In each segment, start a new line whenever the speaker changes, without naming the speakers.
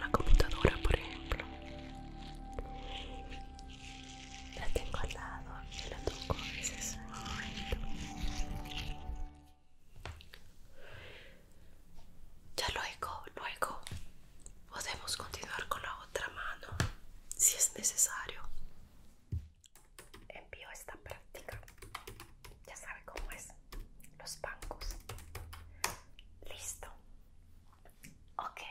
la computadora por ejemplo la tengo al lado y la toco ya luego luego podemos continuar con la otra mano si es necesario envío esta práctica ya sabe cómo es los bancos listo okay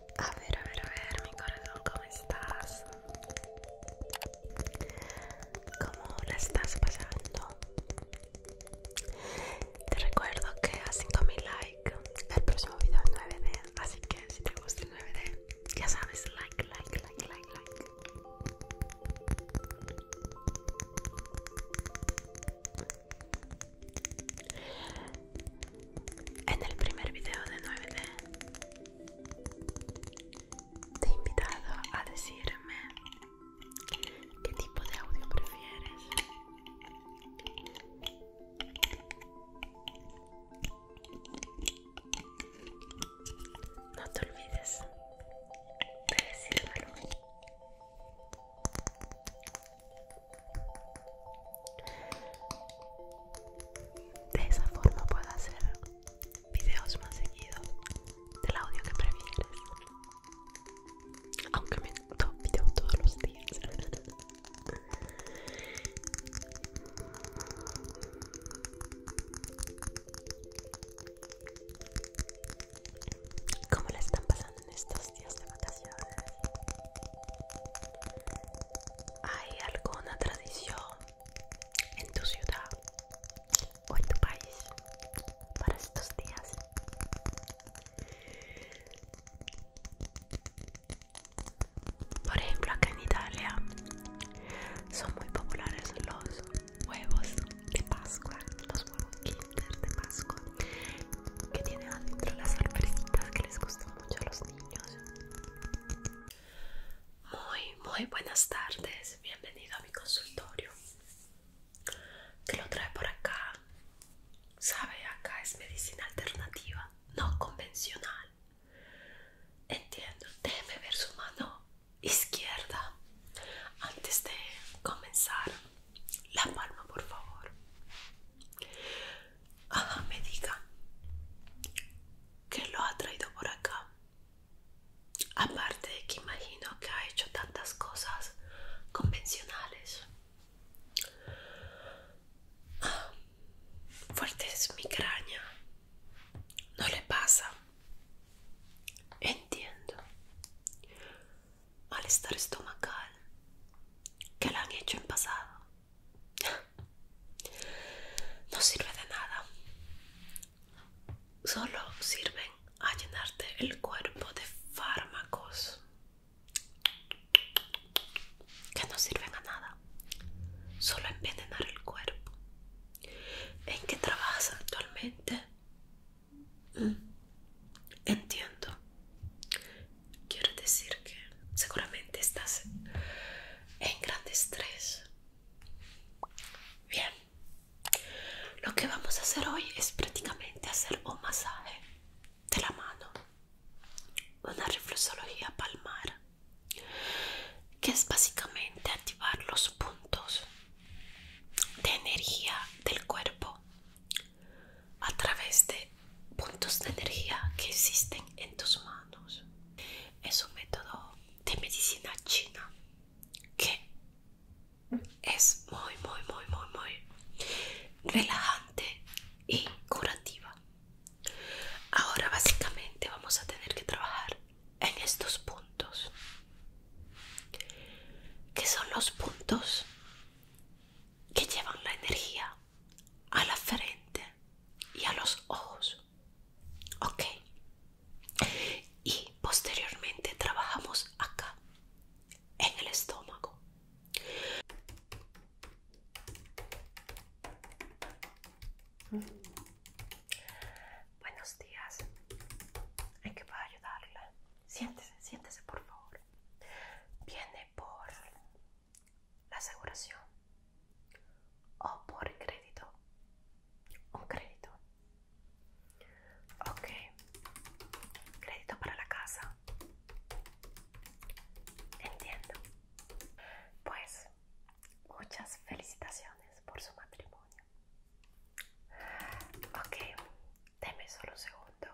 A ver, a ver, a ver, mi corazón, ¿cómo estás? ¿Cómo la estás pasando? Te recuerdo que a 5000 likes el próximo video es 9D, así que si te gusta el 9D, ya sabes, like, like, like, like, like en el primer video de 9D te he invitado a decirme qué tipo de audio prefieres no te olvides de de esa forma puedo hacer videos más seguidos del audio que prefieres. Aunque me tomo video todos los días. ¿Cómo le están pasando en estos días de vacaciones? ¿Hay alguna tradición en tu ciudad o en tu país para estos días. Por ejemplo, acá en Italia son muy populares los huevos de Pascua, los huevos Kinder de Pascua, que tienen adentro las sorpresitas que les gustan mucho a los niños. Muy, muy buenas tardes. Bienvenido a mi consultorio. te lo trae por acá? Sabe, acá es medicina alternativa, no convencional. Entiendo. Déjeme ver su mano izquierda. Antes de comenzar, la palma, por favor me diga que lo ha traído por acá. Aparte de que imagino que ha hecho tantas cosas convencionales. Ah, fuerte es migraña. No le pasa. Entiendo. Malestar estomacal. Que le han hecho en pasado. No sirve de nada. Solo sirven a llenarte el cuerpo de fármacos que no sirven a nada. Solo envenenar el cuerpo. ¿En qué trabajas actualmente? Mm, entiendo. Quiero decir que seguramente estás en gran estrés. Bien. Lo que vamos a hacer hoy es prácticamente hacer un masaje de la mano. Una reflexología palmar. Que es básicamente activar los puntos de energía del cuerpo a través de puntos de energía que existen en tus manos. Es un método de medicina china que es muy, muy, muy, muy, muy relajante y curativa. Ahora básicamente vamos a tener que trabajar en estos puntos. Que son los puntos que llevan la energía a la frente y a los ojos? Ok. Y posteriormente trabajamos acá, en el estómago. Buenos días. hay que puedo ayudarle? Siéntese, siéntese por favor. Viene por la aseguración o por crédito. Un crédito. Ok. Crédito para la casa. Entiendo. Pues muchas felicitaciones por su matrimonio. Ok, deme solo un segundo.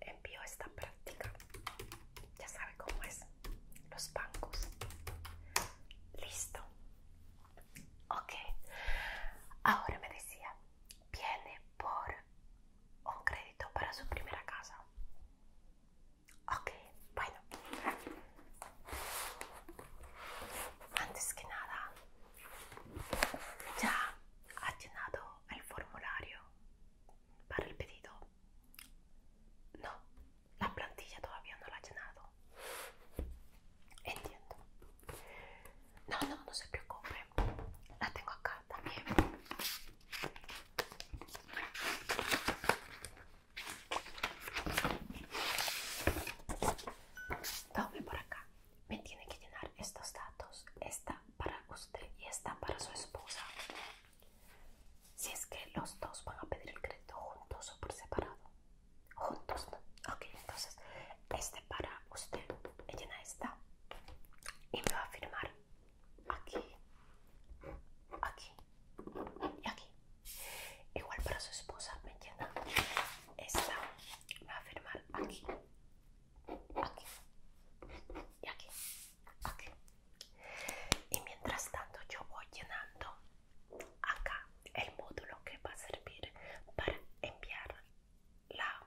Envío esta práctica. Ya sabe cómo es los bancos. Listo. Ok. Ahora me decía, viene por un crédito para su primera casa. Ok, bueno. Antes que nada, ya ha llenado el formulario para el pedido. No, la plantilla todavía no la ha llenado. Entiendo. No, no, no se preocupe. La tengo acá también. Doble por acá. Me tiene que llenar estos datos. Esta para usted y esta para su esposa si es que los dos van a pedir el crédito juntos o por separado. Juntos, Ok, entonces este para usted, me llena esta y me va a firmar aquí, aquí y aquí. Igual para su esposa, ¿me llena Esta me va a firmar aquí, aquí y aquí, aquí, y mientras tanto yo voy llenando acá el módulo que va a servir para enviar la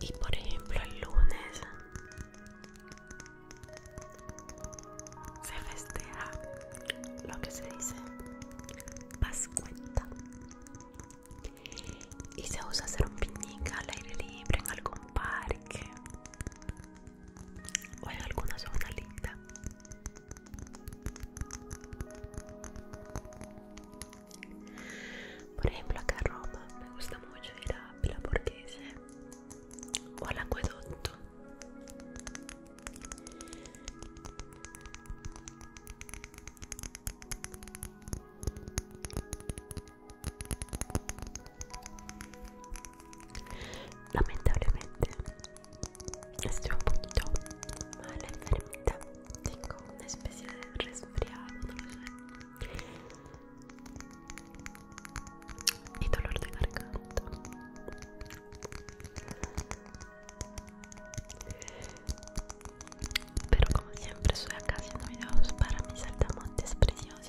Y por ejemplo el lunes se festeja lo que se dice Pascuenta y se usa hacer un picnic al aire libre en algún parque o hay alguna zona linda por ejemplo acá en Roma me gusta mucho ir a la Borghese o al acueducto Lamentablemente, estoy un poquito mal enfermita. Tengo una especie de resfriado, no Y dolor de garganta. Pero como siempre, soy acá haciendo videos para mis saltamontes preciosos.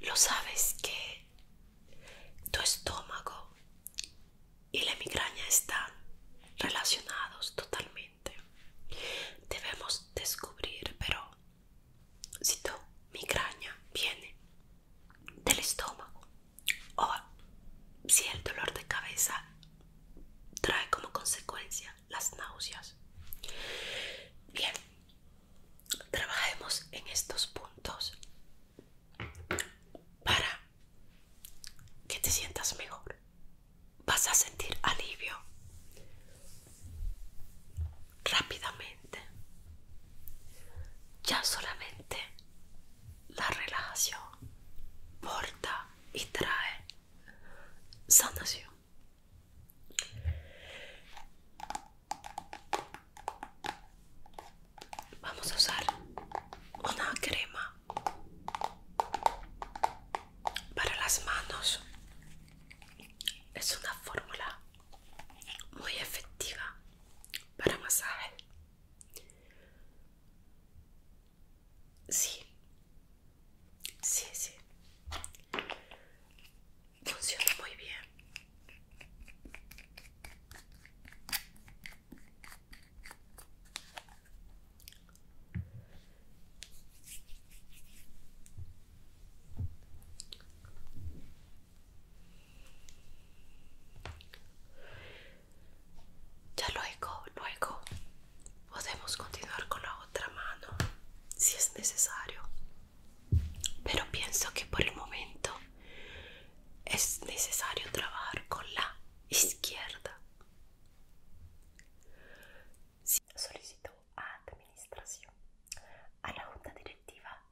Lo sabes que tu estómago y la migraña están relacionados totalmente. Debemos descubrir, pero si tu migraña viene del estómago, o si el dolor de cabeza trae como consecuencia las náuseas. Bien, trabajemos en estos puntos para que te sientas mejor. Vas a sentir alivio rápidamente. Ya solamente la relajación porta y trae sanación. Vamos a usar una crema para las manos. Es una fórmula muy efectiva para masaje. Sí, sí, sí. Funciona muy bien. Ya luego, luego podemos continuar con la otra mano si es necesario. Pero pienso que por el momento es necesario trabajar con la izquierda. Solicito a administración, a la junta directiva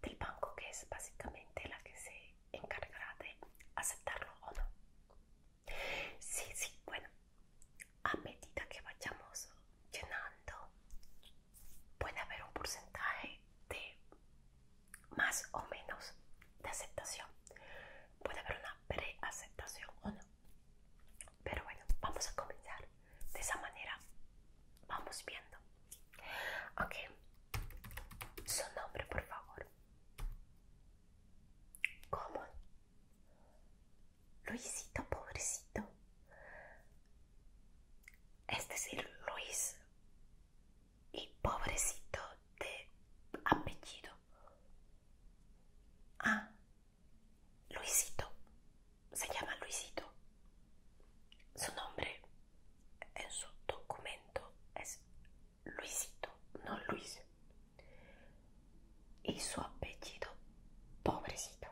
del banco que es básicamente la que se encargará de aceptarlo o no. Sí, sí, bueno, a medida que vayamos llenando, puede haber un porcentaje de más o menos de aceptación. Puede haber una preaceptación o no. Pero bueno, vamos a comenzar. De esa manera vamos viendo Ok, su nombre, por favor. ¿Cómo? Luisito, pobrecito. Este Es el Luis y pobrecito de apellido. Ah, Luisito. Se llama Luisito. Su nombre en su documento es Luisito, no Luis. Y su apellido, pobrecito.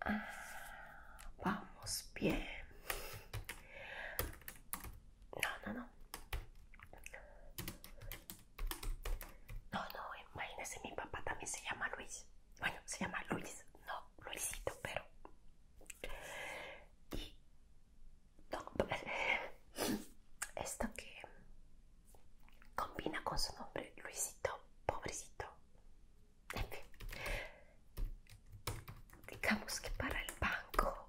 Ah, vamos bien. No, no, no. No, no, imagínese, mi papá también se llama Luis. Bueno, se llama Luis, no Luisito, pero y pues, esto que combina con su nombre, Luisito, pobrecito. En digamos que para el banco,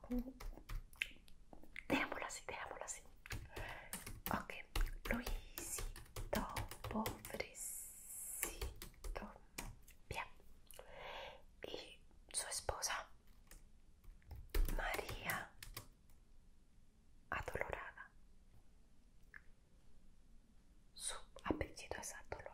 démoslo así, démoslo así. Ok, Luisito, pobrecito. Bien, y su esposa María Adolorada. Su apellido es Adolorada.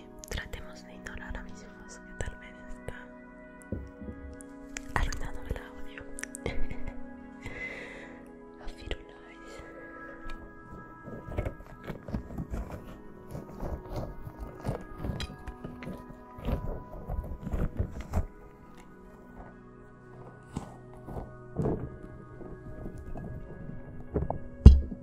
tratemos de ignorar a mis que tal vez está arruinándome el audio.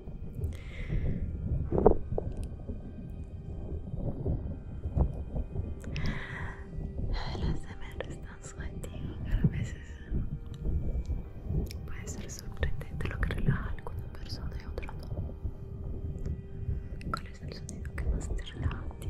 Las tan están que a veces puede ser sorprendente lo que relaja a alguna persona y otro no. ¿Cuál es el sonido que más te relaja a ti?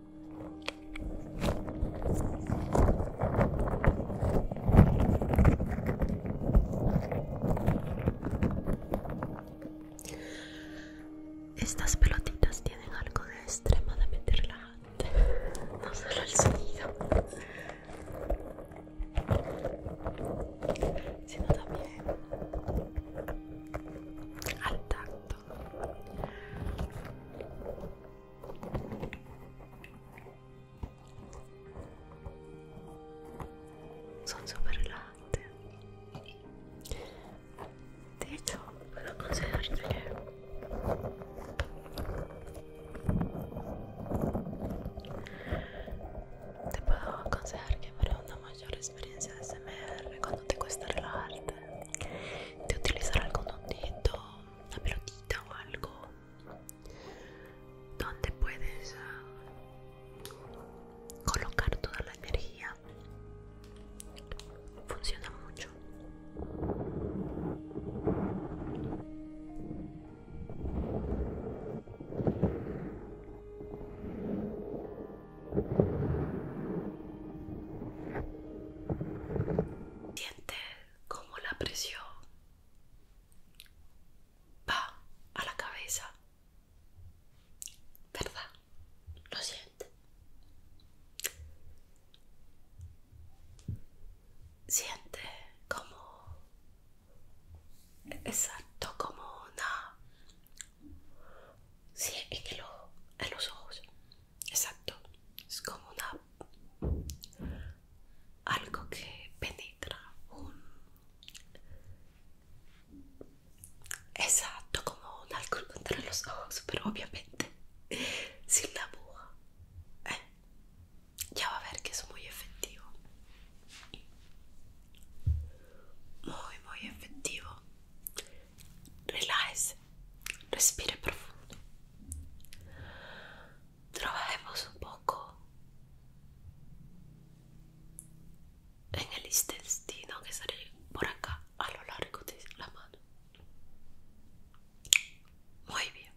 Estas pelotitas tienen algo de extremadamente relajante, no solo el sonido, sino también al tacto. Son super relajantes. De hecho, puedo aconsejarte que te puedo aconsejar que para una mayor experiencia de SMR cuando te cuesta relajarte de utilizar algún dondito, una pelotita o algo donde puedes ah, colocar toda la energía funciona mucho Siente como la presión va a la cabeza, ¿verdad? Lo siente. Siente como... Exacto, como una... Sí, es que los ojos Exacto. Es como una... Algo que penetra un... Exacto, como un alcohol contra los ojos, pero obviamente sin la aguja. ¿eh? ya va a ver que es muy efectivo. Muy, muy efectivo relájese, respire profundo. Trabajemos un poco en el intestino que sale por acá a lo largo de la mano. Muy bien.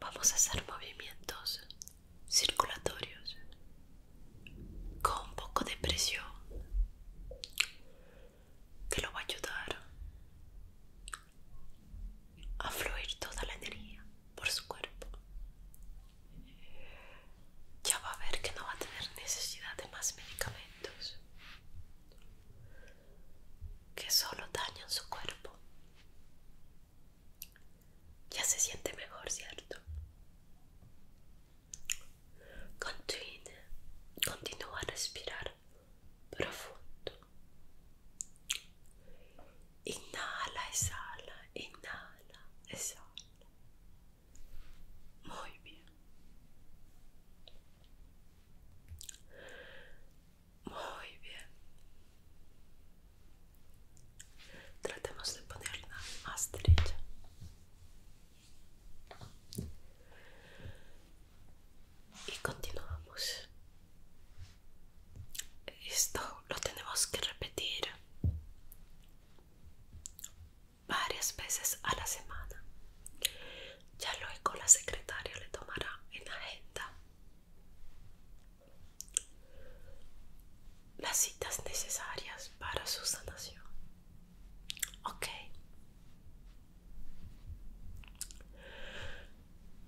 Vamos a hacer movimientos circulatorios con un poco de presión que lo va a ayudar a fluir toda la energía por su cuerpo. Ya va a ver que no va a tener necesidad de más medicamentos que solo dañan su cuerpo. Ya se siente mejor, ¿cierto? Continúa, continúa a respirar profundo. Inhala, exhala, inhala, exhala. Muy bien. Muy bien. Tratemos de ponerla más derecha y continuamos esto lo tenemos que repetir varias veces a la semana ya luego la secretaria le tomará en agenda las citas necesarias para su sanación Ok.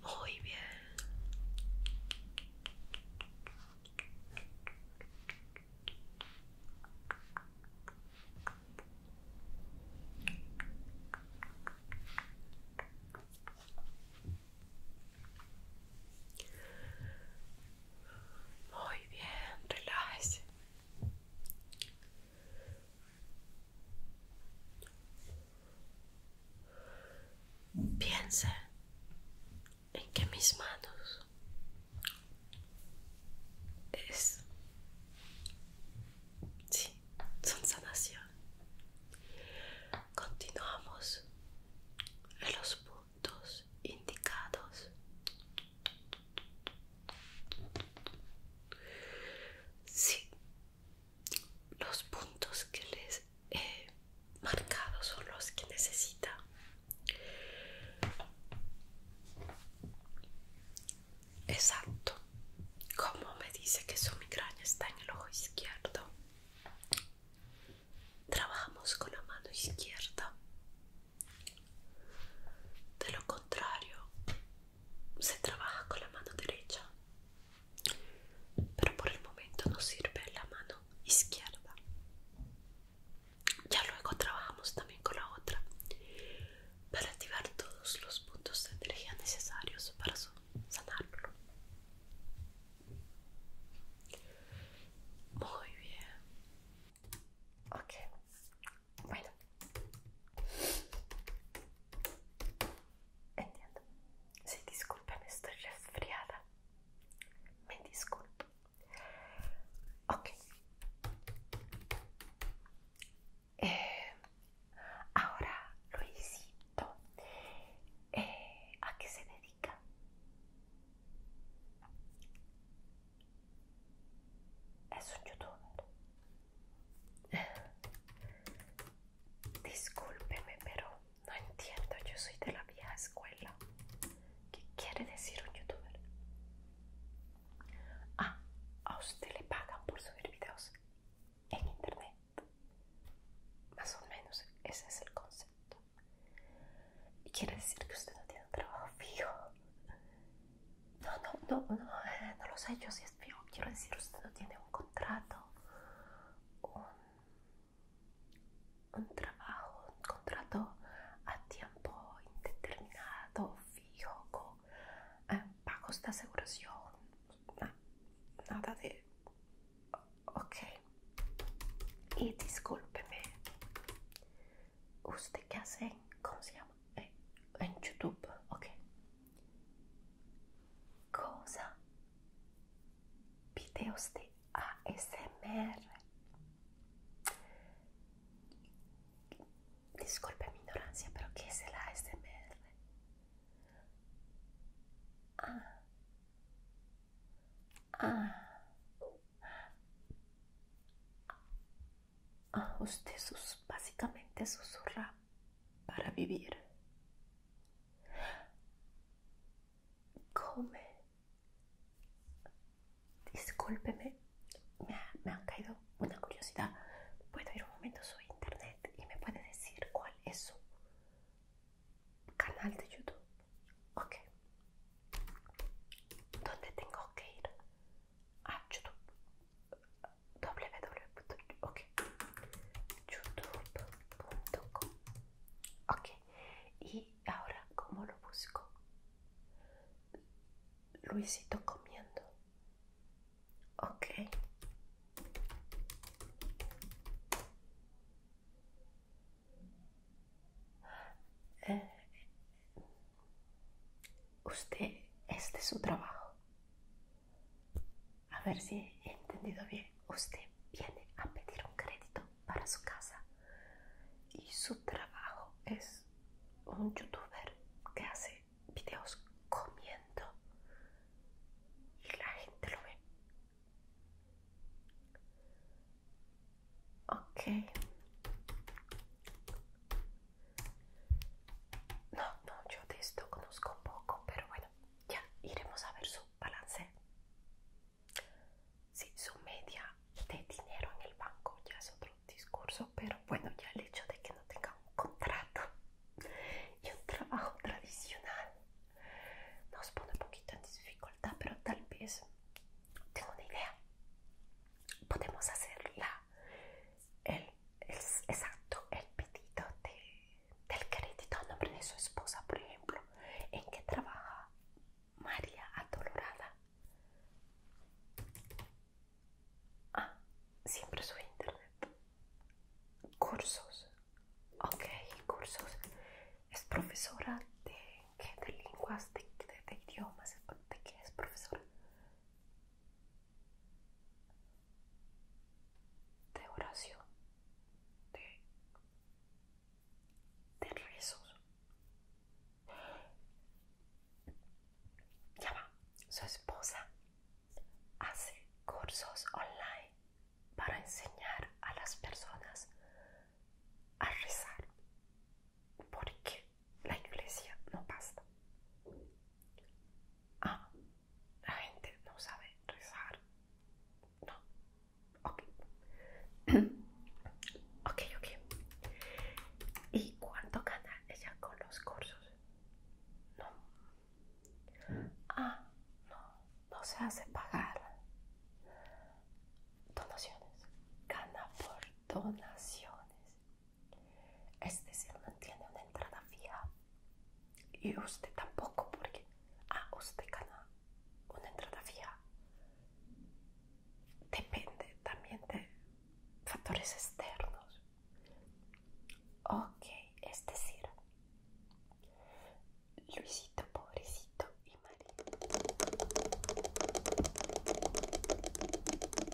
Muy bien. Muy bien, relájese. Piense en que mis manos es son sanación. Continuamos en los puntos indicados. Sí, los puntos que les he marcado son los que necesita. Exacto. Como me dice que su migraña está en el ojo izquierdo, trabajamos con la mano izquierda. De lo contrario, se trabaja con la mano derecha, pero por el momento nos sirve la mano izquierda. Ya luego trabajamos también con la otra para activar todos los puntos de energía necesarios para sanarlo. Muy bien. Ok, bueno. Entiendo. Sí, disculpen, estoy resfriada. Me disculpo. Ok. Eh, ahora, Luisito, eh, ¿a qué se dedica? es un youtuber. Discúlpeme, pero no entiendo, yo soy de la vieja escuela. ¿Qué quiere decir un youtuber? Ah, a usted le pagan por subir videos en internet. Más o menos ese es el concepto. Y quiere decir que usted no tiene un trabajo fijo. No, no, no, no, eh, no lo sé yo si es fijo. Quiero decir, usted no tiene un contrato, un, trabajo, un contrato a tiempo indeterminado, fijo, con eh, pagos de aseguración, nada de... Ok. Y discúlpeme. Ustekasen, come si chiama? È eh, in YouTube, ok? Cosa? Videos di ASMR. Discolpa minoranza, però che se la ASMR? Ah. Ah. usted sus, básicamente susurra para vivir. Come. Discúlpeme, me, ha, caído una curiosidad. ¿Puedo ir un momento su internet y me puede decir cuál es su canal de YouTube? Ok, ¿Dónde tengo que ir? A ah, YouTube. www. Ok. YouTube.com. Okay Y ahora, ¿cómo lo busco? Luisito comiendo. Ok. Eh, Usted este es de su trabajo. A ver si he entendido bien. Usted viene a pedir un crédito para su casa y su trabajo es un youtuber que hace videos comiendo y la gente lo ve. Ok. No, no, yo de esto conozco poco, pero bueno, ya iremos a ver su balance. Sí, su media de dinero en el banco ya es otro discurso, pero bueno, ya el hecho de que no tenga un contrato y un trabajo tradicional nos pone un poquito en dificultad, pero tal vez tengo una idea. Podemos hacerla el, exacto, el pedido de, del crédito a nombre de su esposa, por ejemplo. ¿En qué trabaja María Adolorada? Ah, siempre su internet. Cursos. Ok, cursos. Es profesora de, ¿qué? de lenguas, de idiomas, de qué es profesora de oración, de, de rezos. Ya va, su esposa hace cursos online para enseñar a las personas a rezar. ¿Por qué? la iglesia no basta. Ah, la gente no sabe rezar. No. Ok. ok, ¿Y cuánto gana ella con los cursos? No. Ah, no. No se hace pagar donaciones. Gana por donaciones. Este decir, no tiene una entrada fija. Y usted tampoco, porque... a ah, usted gana una entrada fija. Depende también de factores externos. Ok, es decir, Luisito, pobrecito y María.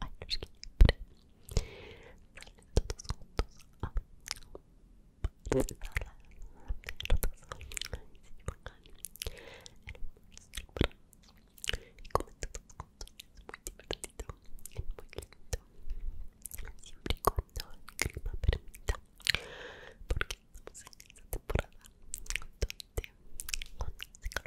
Ay, no que siempre Salen todos juntos ah, no. Salen todos Ay, sí, bacán El Y comen todos juntos Es muy divertido Es muy lindo Siempre cuando el clima permita Porque estamos en esta temporada Donde con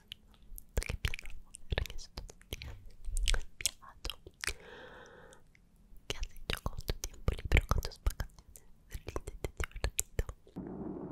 piensas? ¿Qué piensas ¿Qué has hecho con tu tiempo libre con tus vacaciones? Ríndete divertido. Hola,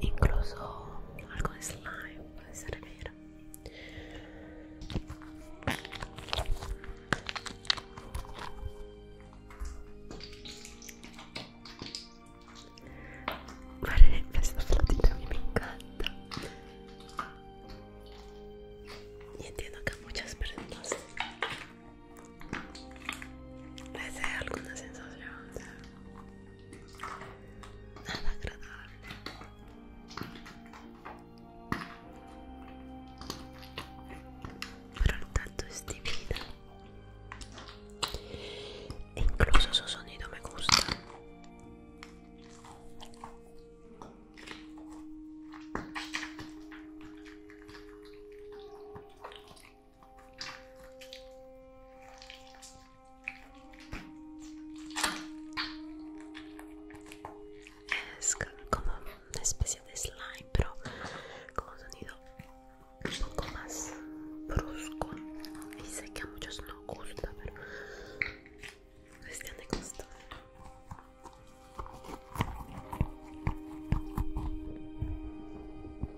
incluso algo de slime puede servir Vale, esta flotita a mí me encanta y entiendo que hay muchas prendas les dé alguna sensación de nada agradable pero el tanto es divina e incluso su sonido me gusta es como una especie de slime, pero con un sonido un poco más brusco. Y sé que a muchos no gusta, pero cuestión de gusto.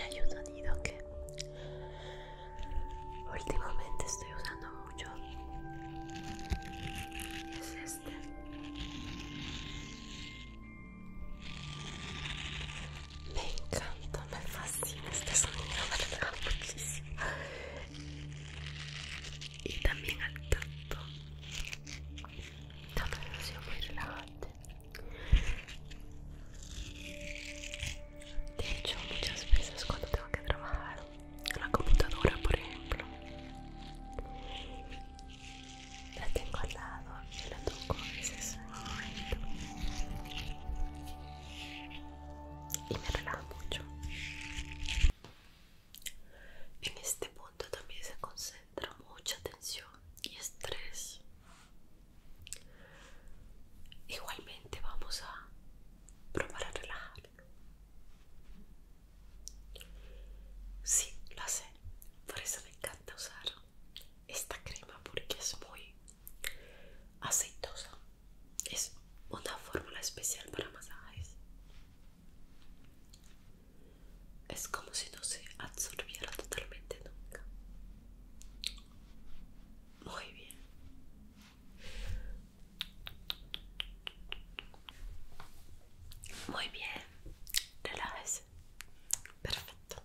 Hay un sonido que últimamente estoy usando es este me encanta me fascina este sonido me relaja muchísimo y también al tanto, me una muy relajante de hecho muchas veces cuando tengo que trabajar la computadora, por ejemplo. La tengo al lado, la toco y me relaja mucho. En este punto también se concentra mucha tensión y estrés. Igualmente vamos a probar a relajar Sí, lo sé. Por eso me encanta usar esta crema porque es muy aceitosa. Es una fórmula especial para masajes. Es como si no se absorbiera totalmente nunca. Muy bien. Muy bien, relájese. Perfecto.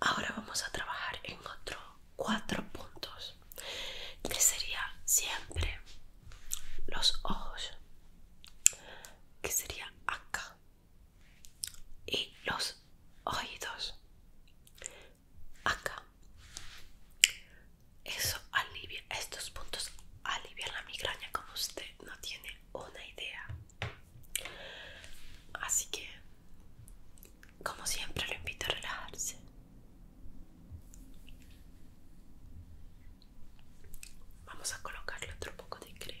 Ahora vamos a trabajar en otros cuatro puntos, que sería siempre los ojos, que sería acá, y los oídos, acá, eso alivia, estos puntos alivian la migraña como usted no tiene una idea. Así que, como siempre, lo invito a relajarse. Vamos a colocarle otro poco de crema.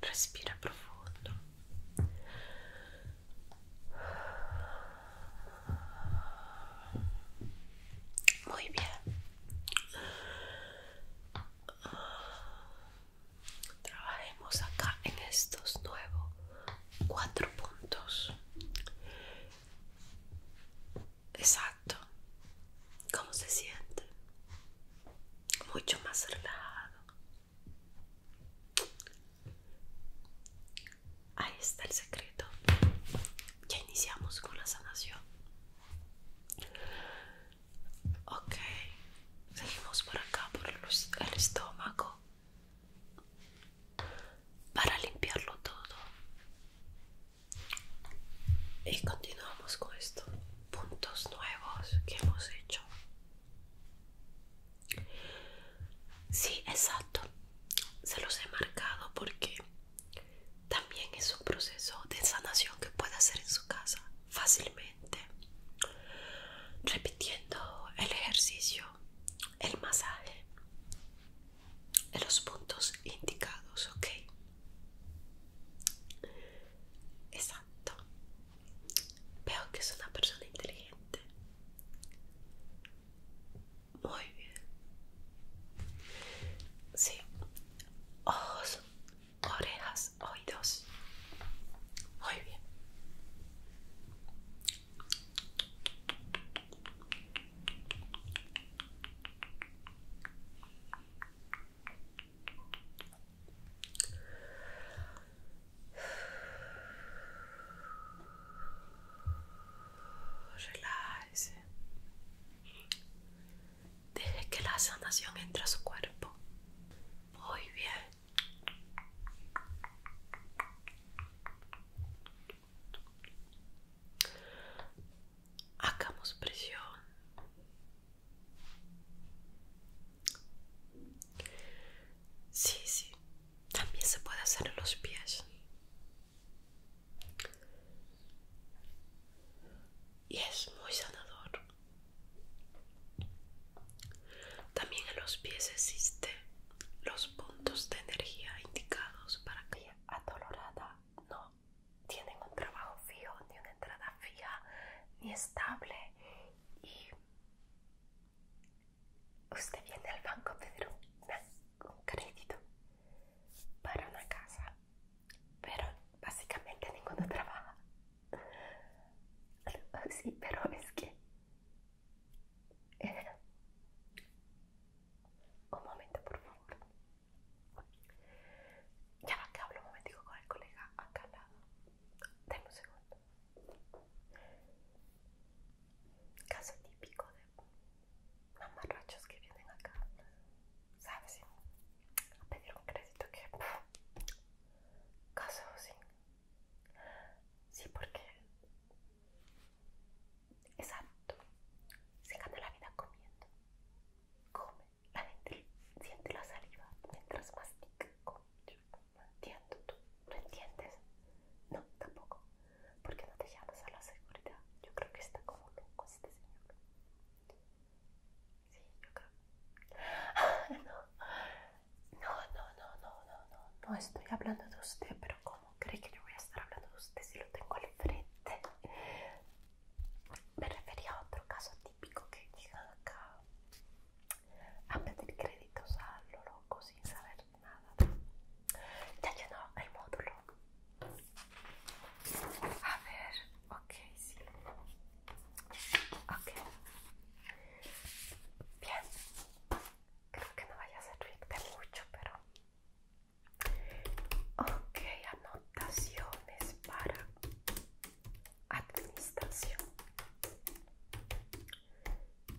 Respira profundo. Muy bien. Trabajemos acá en estos nuevos cuatro puntos. Exacto. como se siente? Mucho más relajado. Ahí está el secreto. Ya iniciamos con la sanación. Ok. Seguimos por acá, por el estómago. Para limpiarlo todo y continuamos con estos puntos nuevos que hemos hecho sí exacto se los he marcado porque también es un proceso de sanación que puede hacer en su casa fácilmente repitiendo el ejercicio el masaje en los puntos indicados ok Exacto Veo que es una persona inteligente. Muy bien. Sí. Ojos, orejas, oídos. Muy bien. Relájese. Deje que la sanación entre a su cuerpo. Muy bien. Hagamos presión Sí, sí, también se puede hacer en los pies. Y es muy sanador. También en los pies existen los puntos de energía indicados para que la adolorada no tienen un trabajo fijo, ni una entrada fija, ni estable. Y usted viene al banco a pedir un, crédito para una casa, pero básicamente ninguno trabaja. Sí, pero es que... Eh, un momento, por favor. Ya va, que hablo un momentico con el colega acá al lado. Dame un segundo. Caso típico de mamarrachos que vienen acá, ¿sabes? A pedir un crédito que. caso sí. Sí, porque. Exacto. Se gana la vida comiendo. Come la gente siente la saliva mientras mastica. con, yo, no entiendo, tú no entiendes. No, tampoco. ¿Por qué no te llamas a la seguridad? Yo creo que está como loco este señor. Sí, yo creo. no. no, no, no, no, no, no, no estoy hablando de usted, pero ¿cómo cree que yo voy a estar hablando de usted si lo tengo al frente? me refería a otro caso típico que llegan acá a pedir créditos a lo loco sin saber nada. Ya llenó el módulo. A ver, ok, sí. Ok. Bien. Creo que no vaya a servirte mucho, pero... Ok, anotaciones para Administración.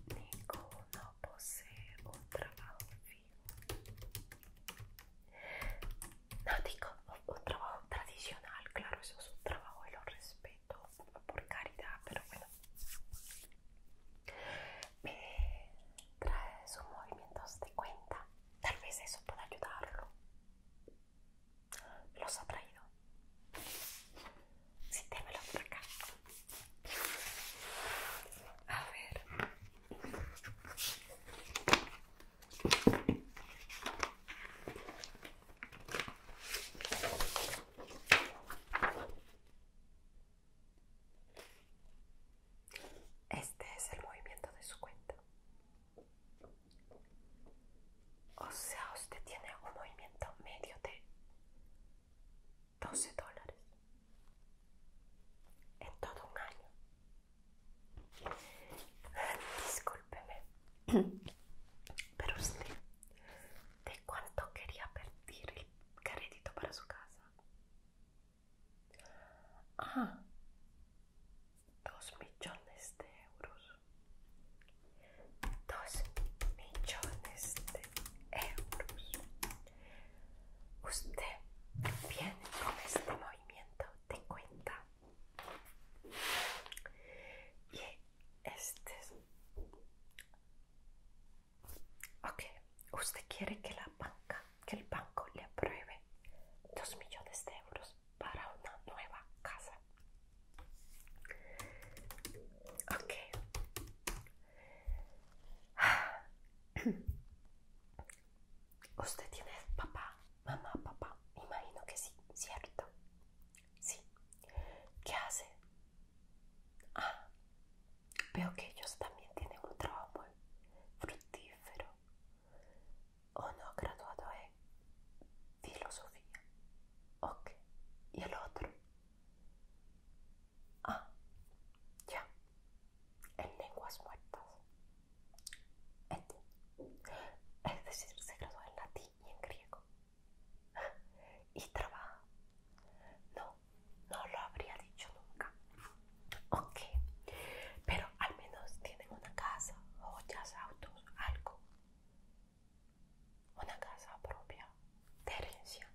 Ninguno posee un trabajo vivo No digo un, trabajo tradicional, claro, eso es un trabajo y lo respeto por caridad, pero bueno. Me trae sus movimientos de cuenta. Tal vez eso pueda ayudarlo los ha traído. Si, te por acá. A ver. Este es el movimiento de su cuenta. O sea, usted tiene un movimiento medio de 12 dólares en todo un año. Discúlpeme, pero usted, ¿de cuánto quería perder el crédito para su casa? Ah, dos millones de euros. Dos millones de euros. Usted viene con este movimiento de cuenta. Y este Ok, usted quiere que la banca, que el banco le apruebe Dos millones de euros para una nueva casa. Ok. Usted tiene papá, mamá, papá. Imagino que sí, ¿cierto? Sí. ¿Qué hace? Ah, veo que ellos también tienen un trabajo fructífero. Uno graduado en filosofía. Ok. ¿Y el otro? Ah, ya. En lenguas muertas. Es decir, se graduó en latín y en griego. ¿Y trabaja? No, no lo habría dicho nunca. Ok. Pero al menos tienen una casa, joyas, auto algo, una casa propia de herencia.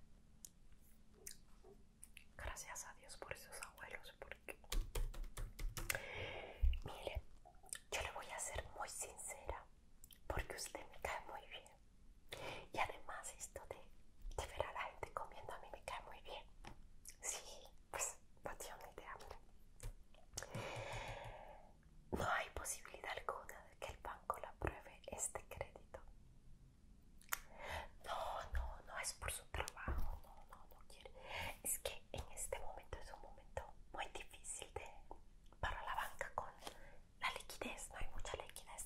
Gracias a Dios por esos abuelos, porque mire, yo le voy a ser muy sincera, porque usted me cae muy bien. Y además esto de, de ver a la gente comiendo a mí me cae muy bien. Sí, pues no hay posibilidad alguna de que el banco le apruebe este crédito. No, no, no es por su trabajo, no, no, no Es que en este momento es un momento muy difícil de, para la banca con la liquidez, no hay mucha liquidez,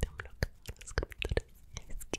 Tam look, let's go to the next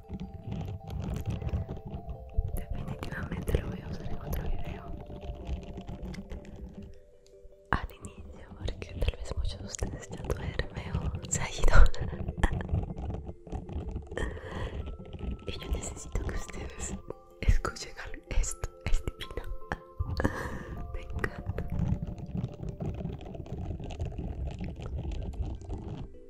Definitivamente lo voy a usar en otro video. Al inicio, porque tal vez muchos de ustedes ya duermen o se ha ido. y yo necesito que ustedes escuchen esto. este divino. Me encanta.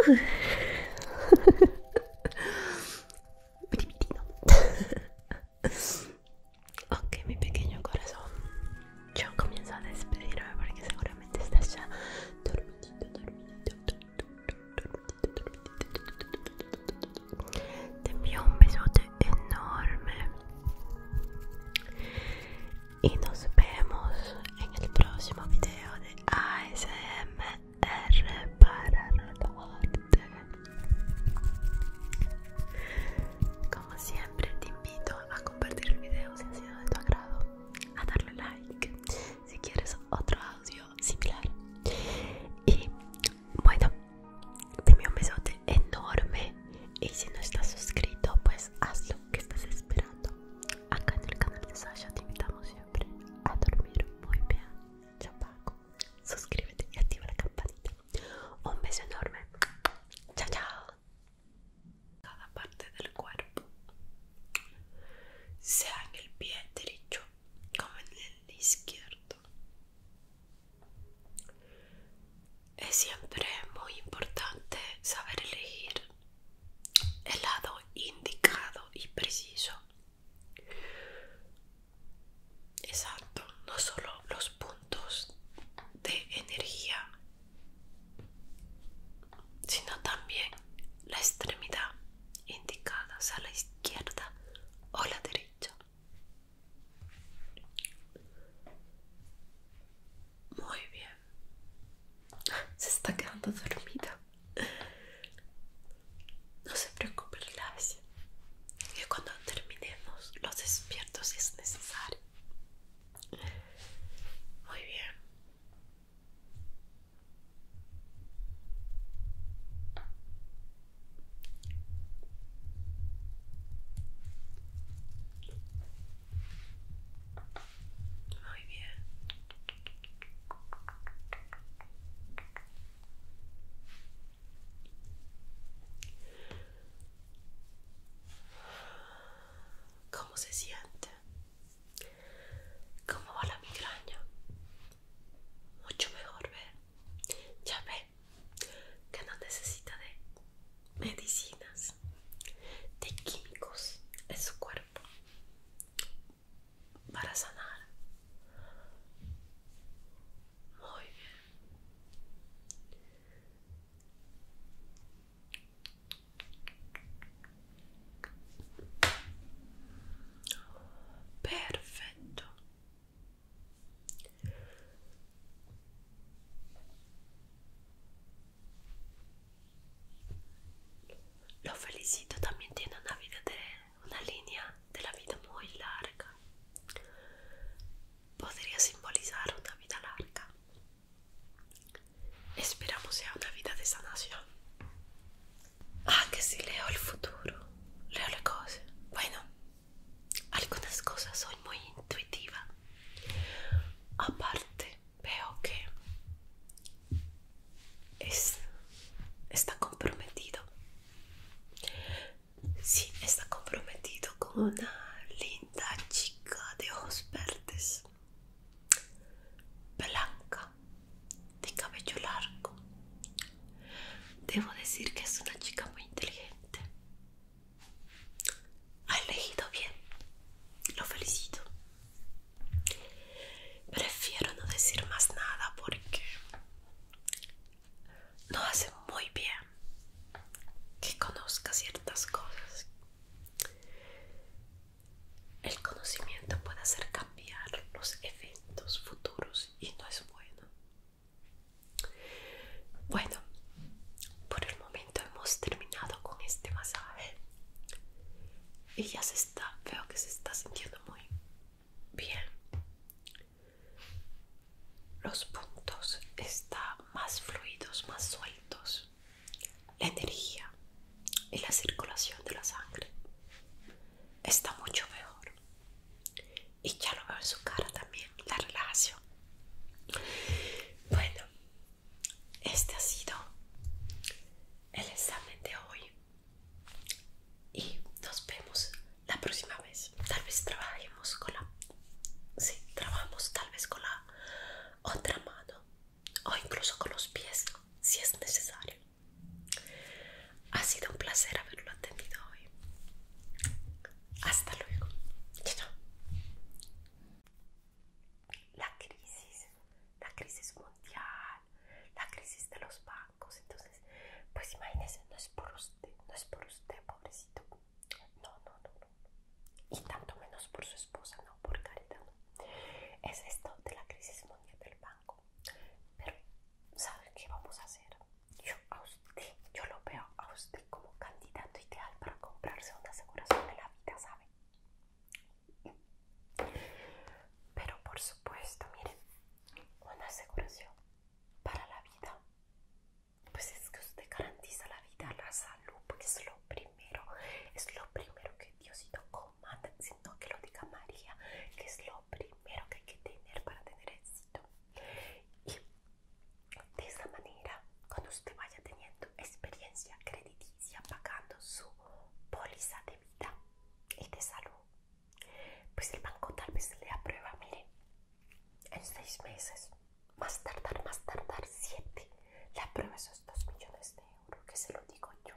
ok, mi pequeño corazón. Yo comienzo a despedirme porque seguramente estás ya dormidito, dormidito, Te envío un besote enorme y nos vemos en el próximo video de ASMR para TV como siempre te invito a compartir el video si ha sido de tu agrado a darle like si quieres otro audio similar y bueno te un besote enorme y si no estás suscrito pues haz lo que estás esperando acá en el canal de Sasha te invitamos siempre a dormir muy bien Paco. suscríbete y activa la campanita un beso enorme chao chao cada parte del cuerpo sea en el pie derecho como en el izquierdo es siempre muy importante saber elegir el lado indicado y preciso. Exacto, no solo los puntos de energía, sino también la extremidad indicada, a la izquierda o la derecha. Muy bien. Se está quedando dormida. No se preocupe, relájese. Que cuando terminemos los despiertos si es necesario. Muy bien. Muy bien. ¿Cómo se siente? ¿Cómo va la migraña? Mucho mejor, ver. Ya ve, que no necesita de medicinas, de químicos en su cuerpo para sanar. Muy bien. Perfecto lo felicito, también tiene una vida una línea de la vida muy larga. Podría simbolizar una vida larga. Esperamos sea una vida de sanación. Ah, que si leo el futuro, leo las cosas. Bueno, algunas cosas soy muy intuitiva. Aparte, veo que está comprometido. Sí, está comprometido con una linda chica de ojos verdes, blanca, de cabello largo. Debo decir que es una chica muy inteligente. Ha elegido bien. Lo felicito. Prefiero no decir más nada porque no hace muy bien que conozca ciertas cosas. El conocimiento puede hacer cambiar los eventos futuros y no es bueno. Bueno, por el momento hemos terminado con este masaje. Y ya se está, veo que se está sintiendo muy bien. Los puntos están más fluidos, más sueltos. La energía y la circulación de la sangre está mucho mejor. Y ya lo veo en su cara también, la relajación bueno, este ha sido el examen de hoy y nos vemos la próxima vez. Tal vez trabajemos con la... Sí, trabajamos tal vez con la otra mano o incluso con los pies si es necesario. Ha sido un placer haberlo atendido hoy. Hasta luego. Chao la crisis, la crisis mundial, la crisis de los bancos. Entonces, pues imagínense, no es por usted, no es por usted, pobrecito. No, no, no, no. Y tanto menos por su esposa, no, por caridad. No. Es esto de la crisis mundial del banco. Pero, ¿saben qué vamos a hacer? Yo a usted, yo lo veo a usted como candidato ideal para comprarse una aseguración de la vida, ¿sabe? Pero por supuesto, miren, una aseguración para la vida. Pues es que usted garantiza la vida, la salud, porque es lo primero, es lo primero que Diosito comanda, sino que lo diga María, que es lo primero que hay que tener para tener éxito. De esa manera, cuando usted vaya teniendo experiencia crediticia pagando su póliza de vida y de salud, pues el banco tal vez le aprueba, mire, en seis meses, más tardar, más tardar siete, le aprueba esos dos millones de euros, que se lo digo yo.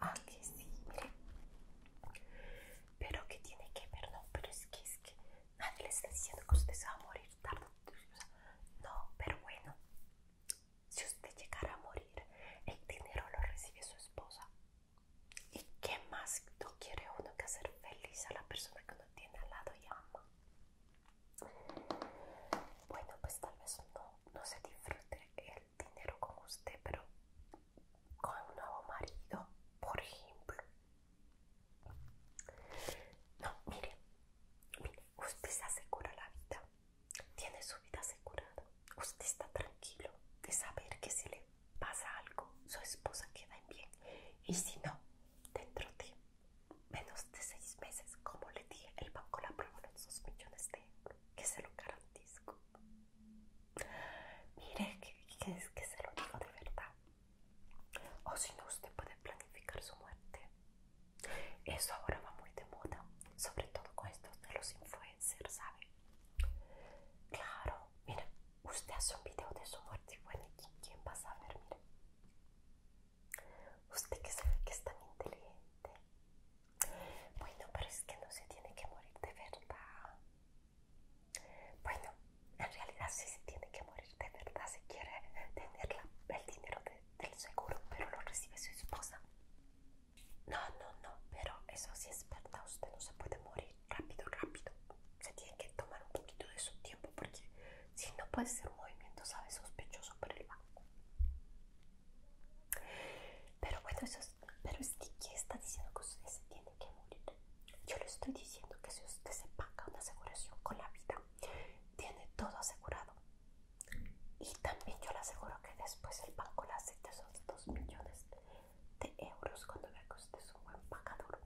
Ah, que sí, mire. Pero que tiene que ver, no, pero es que es que nadie le está diciendo que usted se va a morir tarde no, pero bueno, si usted llegara a morir, el dinero lo recibe su esposa. ¿Y qué más no quiere uno que hacer feliz a la persona que uno tiene al lado y ama? Bueno, pues tal vez no, no se disfrute el dinero con usted, pero con un nuevo marido, por ejemplo, no, mire, usted se asegura la vida, tiene su vida asegurada, usted está tranquilo de saber que si le pasa algo, su esposa queda en bien y si no, dentro de menos de seis meses, como le dije, el banco la aprueba dos millones de euros, que se lo garantizo. Mire, que, que se lo digo de verdad. O si no, usted puede planificar su muerte. Eso ahora va muy de moda, sobre todo con estos de los influencers, ¿sabe? Claro, mire, usted hace un video de su muerte y bueno, ¿quién va a saber? Mire, usted que sabe que es tan inteligente. Bueno, pero es que no se tiene que morir de verdad. Bueno, en realidad sí se tiene que morir de verdad si quiere tener el dinero del seguro, pero lo recibe su esposa. No, no, no, pero eso sí es verdad, usted no se puede morir rápido, rápido. Se tiene que tomar un poquito de su tiempo porque si no puede ser un movimiento, sabe, sospechoso por el banco. Pero bueno, eso pero es que está diciendo que usted se tiene que morir? Yo le estoy diciendo que si usted se paga una aseguración con la vida, tiene todo asegurado. Y también yo le aseguro que después el banco le hace esos 2 millones de euros cuando vea que es un buen pagador.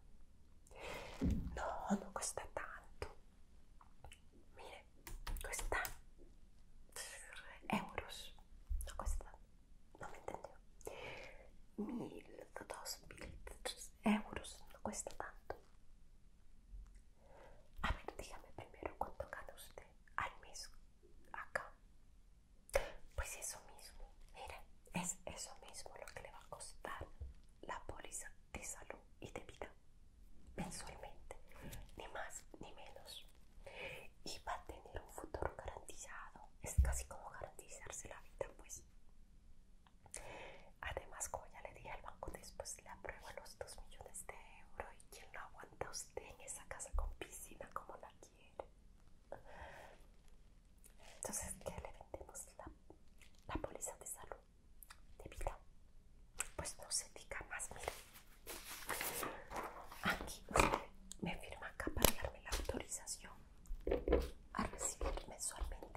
No, no cuesta tanto. Mire, cuesta euros. No cuesta, no me entendió. Mil, dos mil, euros. No cuesta tanto. A ver, dígame primero cuánto gana usted al mes acá. Pues eso mismo, mira, es eso mismo lo que le va a costar la póliza de salud y de vida mensualmente, ni más ni menos. Y va a tener un futuro garantizado, es casi como garantizarse la vida, pues. Además, como ya le dije al banco, después le apruebo los 2 millones de euros. ¿Y quien no aguanta usted en esa casa con piscina como la quiere? Entonces, ¿qué le vendemos? La, la póliza de salud, de vida. Pues no se diga más, mire. Aquí me firma acá para darme la autorización a recibir mensualmente